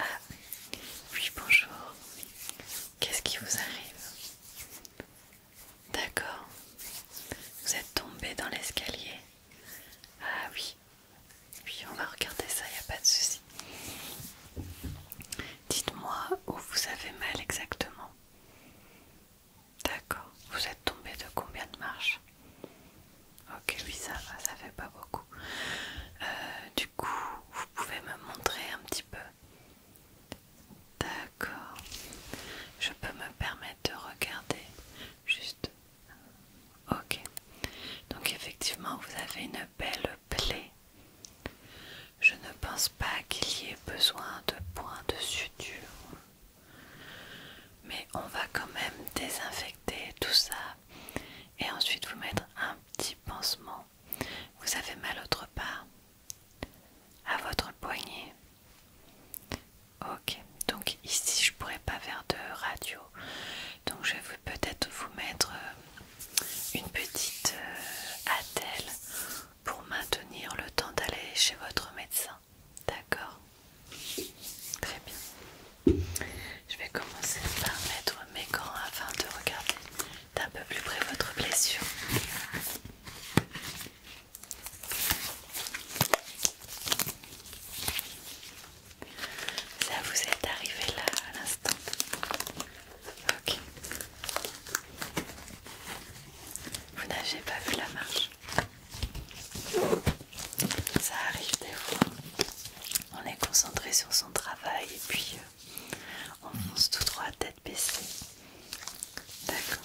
Ah oui bonjour. Qu'est-ce qui vous arrive D'accord. Vous êtes tombé dans l'escalier. Ah oui. Oui, on va regarder ça, il n'y a pas de souci. Dites-moi où vous avez mal exactement. D'accord. Vous êtes tombé de combien de marches Ok, oui, ça va, ça fait pas beaucoup. Euh, du coup, vous pouvez me montrer un petit peu. D'accord. Je peux me permettre de regarder juste. Ok. Donc effectivement, vous avez une belle plaie. Je ne pense pas qu'il y ait besoin de points de suture. Mais on va quand même désinfecter tout ça et ensuite vous mettre un petit pansement. Vous avez mal autre part à votre poignet. Ok, donc ici je pourrais pas faire de radio, donc je vais peut-être vous mettre euh, une petite euh, attelle pour maintenir le temps d'aller chez votre médecin. D'accord Très bien. Je vais commencer par mettre mes gants afin de regarder d'un peu plus près votre blessure. Ça vous est arrivé là à l'instant. Ok. Vous n'avez pas vu la marche. Ça arrive des fois on est concentré sur son travail et puis euh, on fonce tout droit tête baissée. D'accord.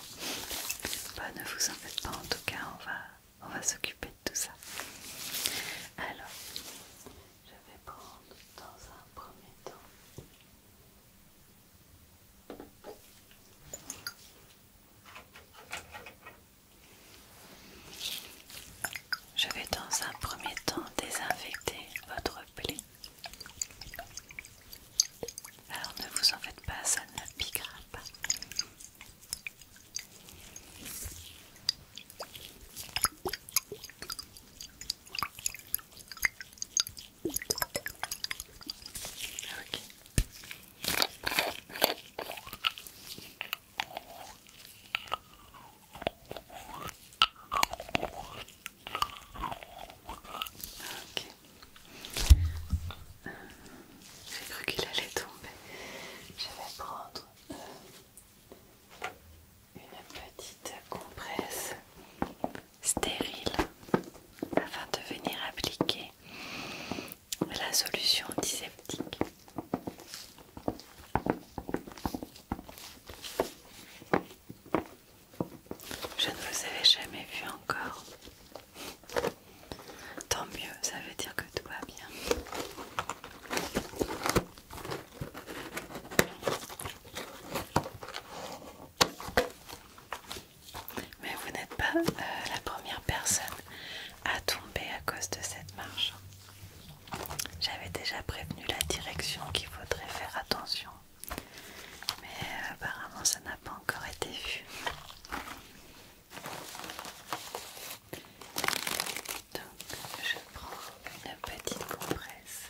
Bah, ne vous en faites pas en tout cas, on va, on va s'occuper de tout ça. Alors, je vais prendre dans un premier temps. Je vais dans un premier temps désinfecter votre plaie. Alors ne vous en faites pas, ça ne piquera pas. Ok. J'ai cru qu'il allait tomber. Je vais prendre euh, une petite compresse stérile afin de venir appliquer la solution antiseptique. Je ne vous avais jamais vu encore. Tant mieux, ça veut dire que tout va bien. Mais vous n'êtes pas euh, la première personne à tomber à cause de cette marche. J'avais déjà prévenu la direction qu'il faudrait faire attention, mais euh, apparemment ça n'a pas encore été vu. Donc je prends une petite compresse.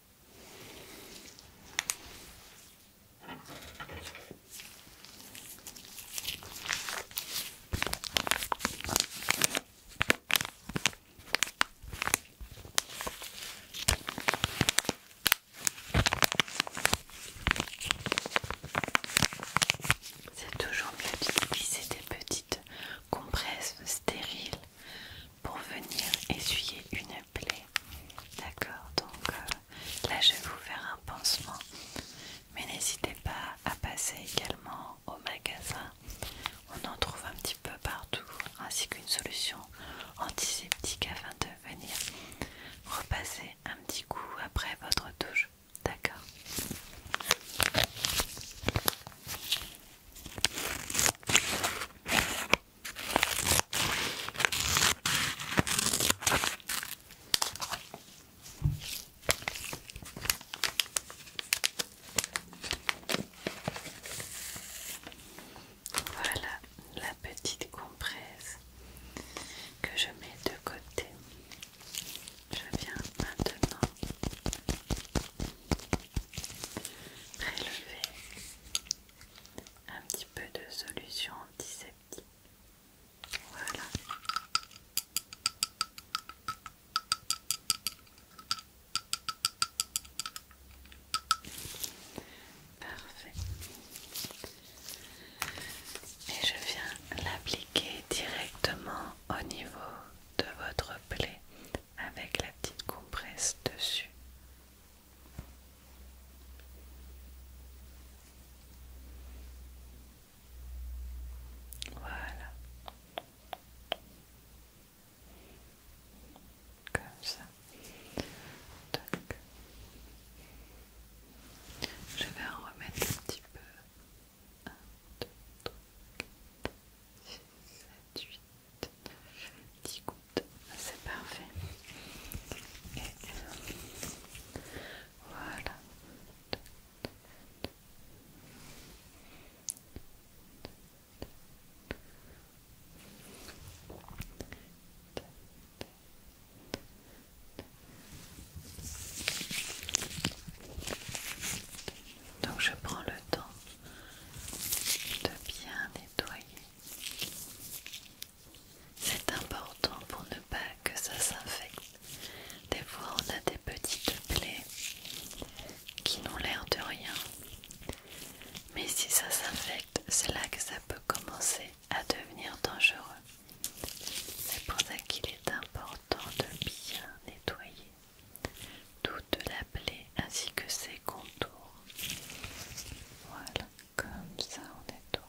C'est toujours mieux d'utiliser des petites compresses stériles pour venir essuyer une plaie. D'accord, donc euh, là je vais vous faire un pansement, mais n'hésitez pas à passer également au magasin. On en trouve un petit peu partout, ainsi qu'une solution antiseptique afin de venir repasser un petit coup après votre douche. D'accord. Voilà la petite compresse que je mets de côté. Je viens maintenant prélever un petit peu de solution antiseptique. Voilà. Parfait. Et je viens l'appliquer directement au niveau de votre plaie avec la petite compresse dessus. Voilà. Comme ça. Je vais en remettre un petit peu. 10 gouttes, c'est parfait. voilà. Donc je prends le temps de bien nettoyer c'est important pour ne pas que ça s'infecte. Des fois on a des petites plaies qui n'ont l'air de rien. Mais si ça s'infecte, c'est là que ça peut commencer à devenir dangereux. C'est pour ça qu'il est important de bien nettoyer toute la plaie ainsi que ses contours. Voilà, comme ça on est tout.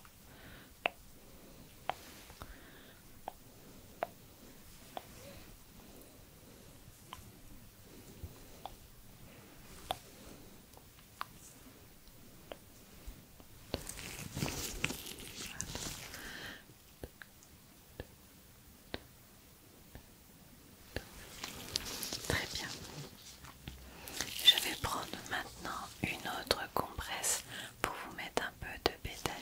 Très bien. Je vais prendre maintenant une autre compresse pour vous mettre un peu de bétadine.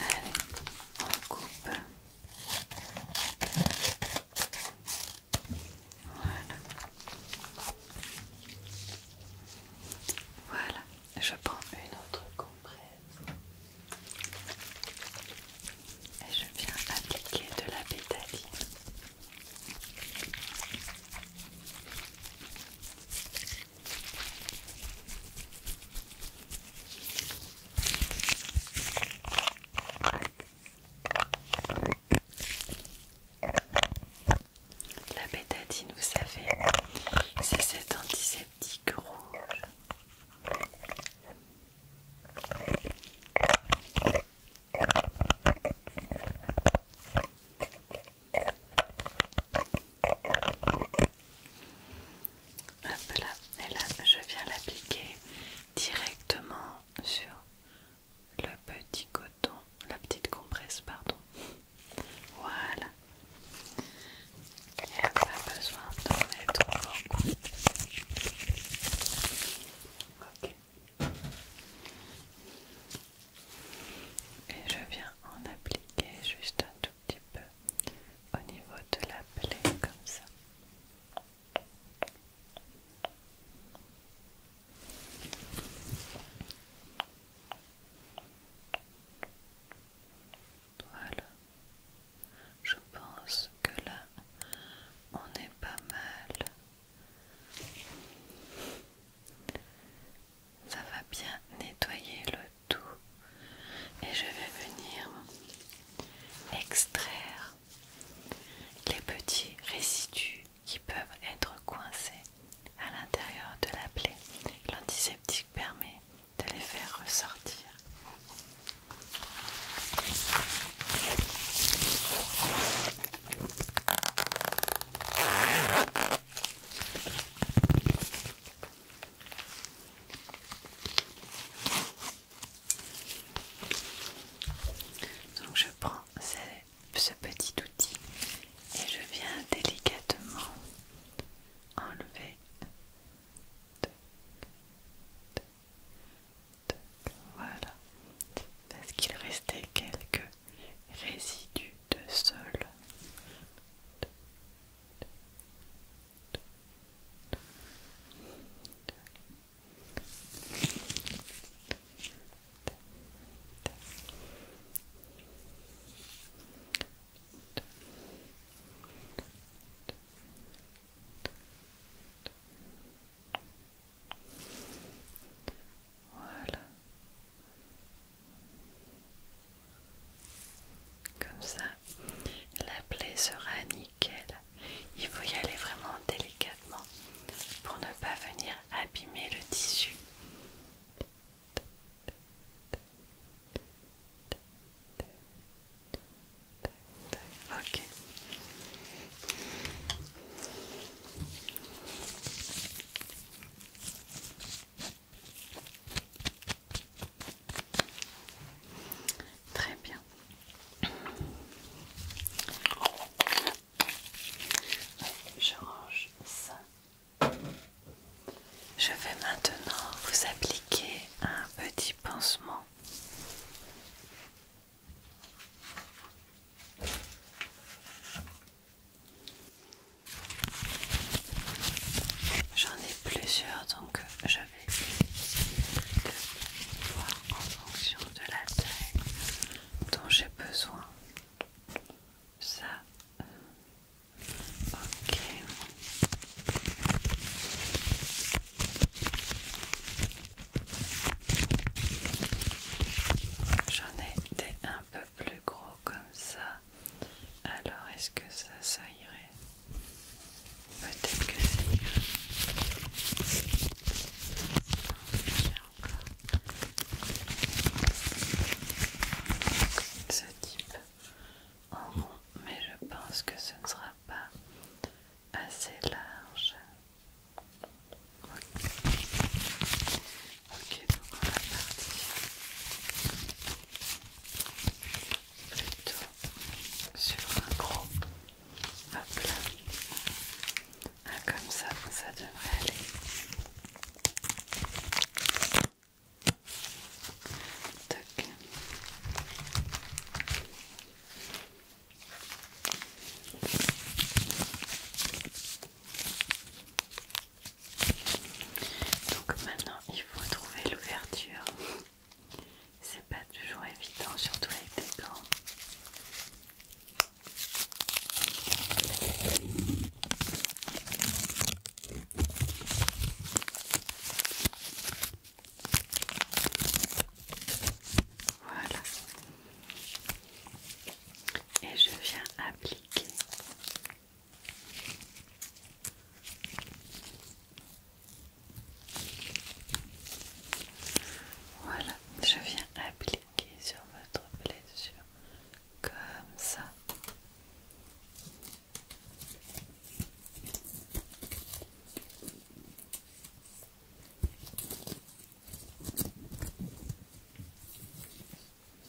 Allez, on coupe. Voilà. Voilà, je prends une autre compresse et je viens appliquer de la pétaline. La bétadine, vous savez, c'est cet antiseptique rouge Hop là, et là je viens l'appliquer directement sur le petit coton, la petite compresse, pardon. Voilà. Il n'y a pas besoin d'en mettre beaucoup. Ok. Et je viens en appliquer juste un tout petit peu au niveau de la plaie comme ça. Voilà. Je pense que là, on est pas mal. Ça va bien nettoyer le tout et je vais venir extraire les petits résidus qui peuvent être coincés à l'intérieur de la plaie. L'antiseptique permet de les faire ressortir. Donc je prends ce, petit outil et je viens délicatement enlever voilà, parce qu'il restait quelques résidus de sol. Voilà. Comme ça, la plaie sera nickel. Il faut y aller vraiment délicatement pour ne pas venir abîmer le tissu. Très bien. Je range ça. Je vais maintenant vous appliquer un petit pansement J'en ai plusieurs donc je vais voir en fonction de la taille dont j'ai besoin. Ça, euh, ok. J'en ai des un peu plus gros comme ça. Alors est-ce que ça, ça irait Peut-être que ça irait. Ce type en rond, mais je pense que ce ne sera pas assez large. Ok, donc on va partir plutôt sur un gros. Hop là. Ah, comme ça, ça devrait aller. Donc maintenant il faut trouver l'ouverture. C'est pas toujours évident, surtout avec des gants. Voilà et je viens appliquer voilà je viens appliquer sur votre blessure comme ça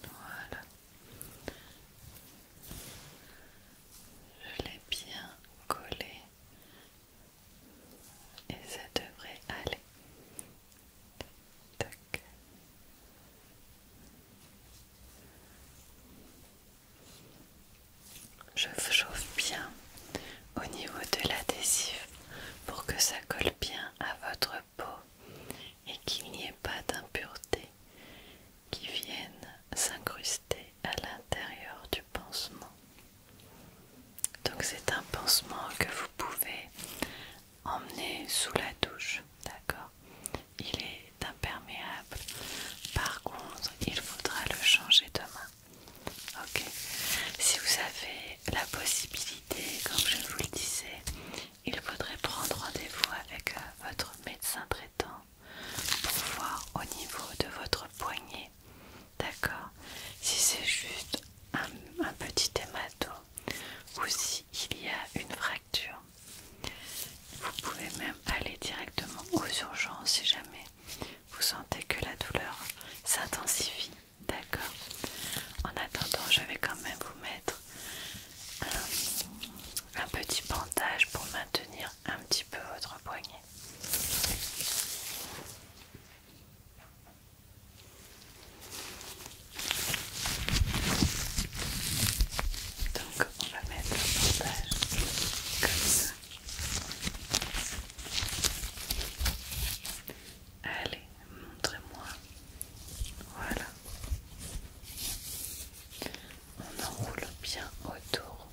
voilà. Je l'ai bien collé et ça devrait aller. Je chauffe bien au niveau de l'adhésif pour que ça colle bien à votre peau et qu'il n'y ait pas d'impureté qui viennent s'incruster à l'intérieur du pansement. Donc c'est un pansement que vous pouvez emmener sous la douche, d'accord Il est imperméable. Par contre, il faudra le changer demain. Ok Si vous avez la possibilité comme je vous le disais, il faudrait prendre rendez-vous avec euh, votre médecin traitant pour voir au niveau de votre poignet, d'accord Si c'est juste un, petit hématome ou si il y a une fracture. Vous pouvez même aller directement aux urgences si jamais vous sentez que la douleur s'intensifie. D'accord. En attendant, je vais quand même vous mettre euh, un, petit bandage pour maintenir un petit peu votre poignet. Donc on va mettre le bandage comme ça. Allez, montrez-moi. Voilà. On enroule bien autour.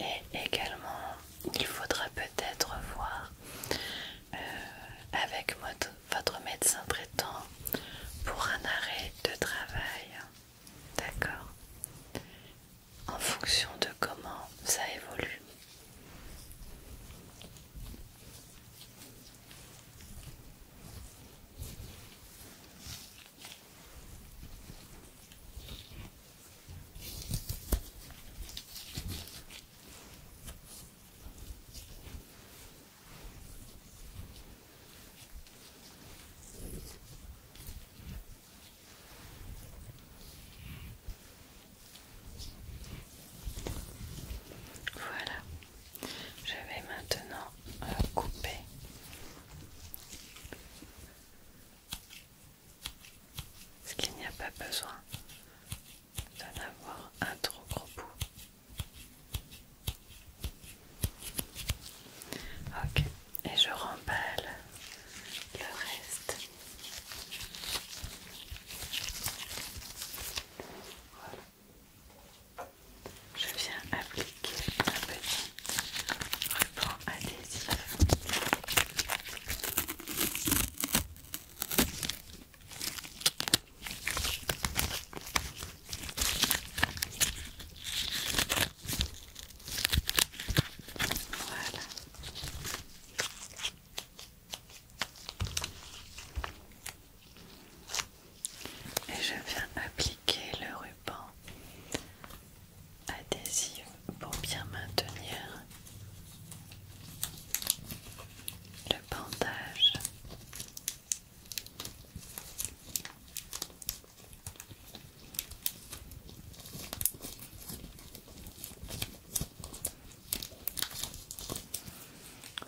Et également, il faudra peut-être voir euh, avec votre médecin traitant pour un arrêt de travail. D'accord En fonction de comment ça évolue. Voilà, je vais maintenant euh, couper est-ce qu'il n'y a pas besoin d'en avoir un trop gros bout. Ok, et je remballe le reste. Voilà. Je viens appliquer appliquer un petit ruban adhésif. Et je viens appliquer le ruban adhésive pour bien maintenir le bandage.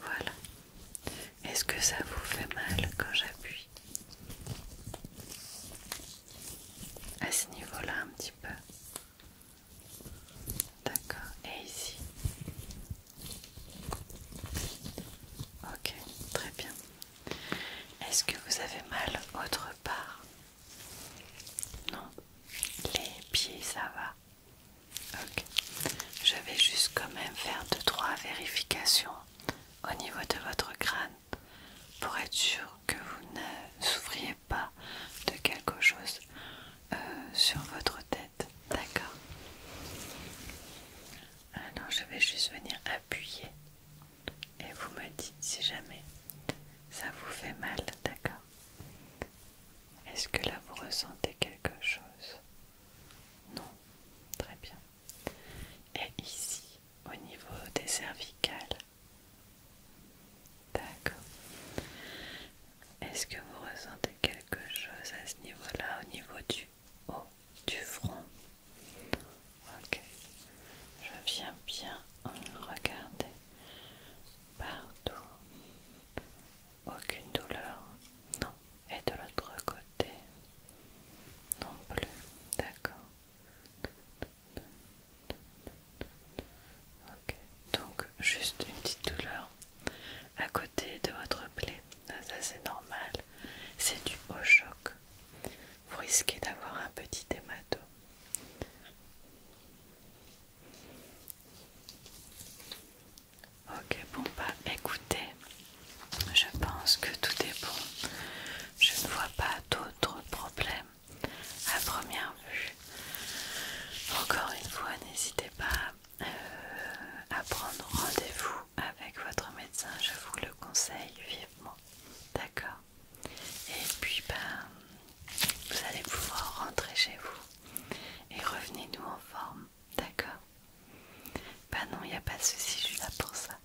Voilà. Est-ce que ça vous fait mal quand j'appuie à ce niveau-là, un petit peu. D'accord. Et ici. Ok, très bien. Est-ce que vous avez mal autre part Non. Les pieds, ça va. Ok. Je vais juste quand même faire deux trois vérifications au niveau de votre crâne pour être sûr que vous ne souffriez pas de quelque chose euh, sur votre tête. D'accord Alors je vais juste venir appuyer et vous me dites si jamais ça vous fait mal. D'accord Est-ce que là vous ressentez quelque chose Non Très bien et ici au niveau des cervicales. D'accord. Est-ce que vous ressentez quelque chose à ce niveau-là, au niveau du haut du front Ok. Je viens bien regarder partout. Aucune douleur. Non. Et de l'autre côté. Non plus. D'accord donc juste une petite douleur à côté de votre plaie. Ah, ça c'est normal, c'est du haut choc. Vous risquez d'avoir un petit hématome. Ok, bon bah écoutez, je pense que tout est bon. Je ne vois pas d'autres problème à première vue. Encore une fois, n'hésitez pas euh, à prendre rendez-vous avec votre médecin, je vous le conseille vivement. D'accord Et puis, ben, vous allez pouvoir rentrer chez vous et revenez-nous en forme. D'accord ben non, il n'y a pas de souci, je suis là pour ça.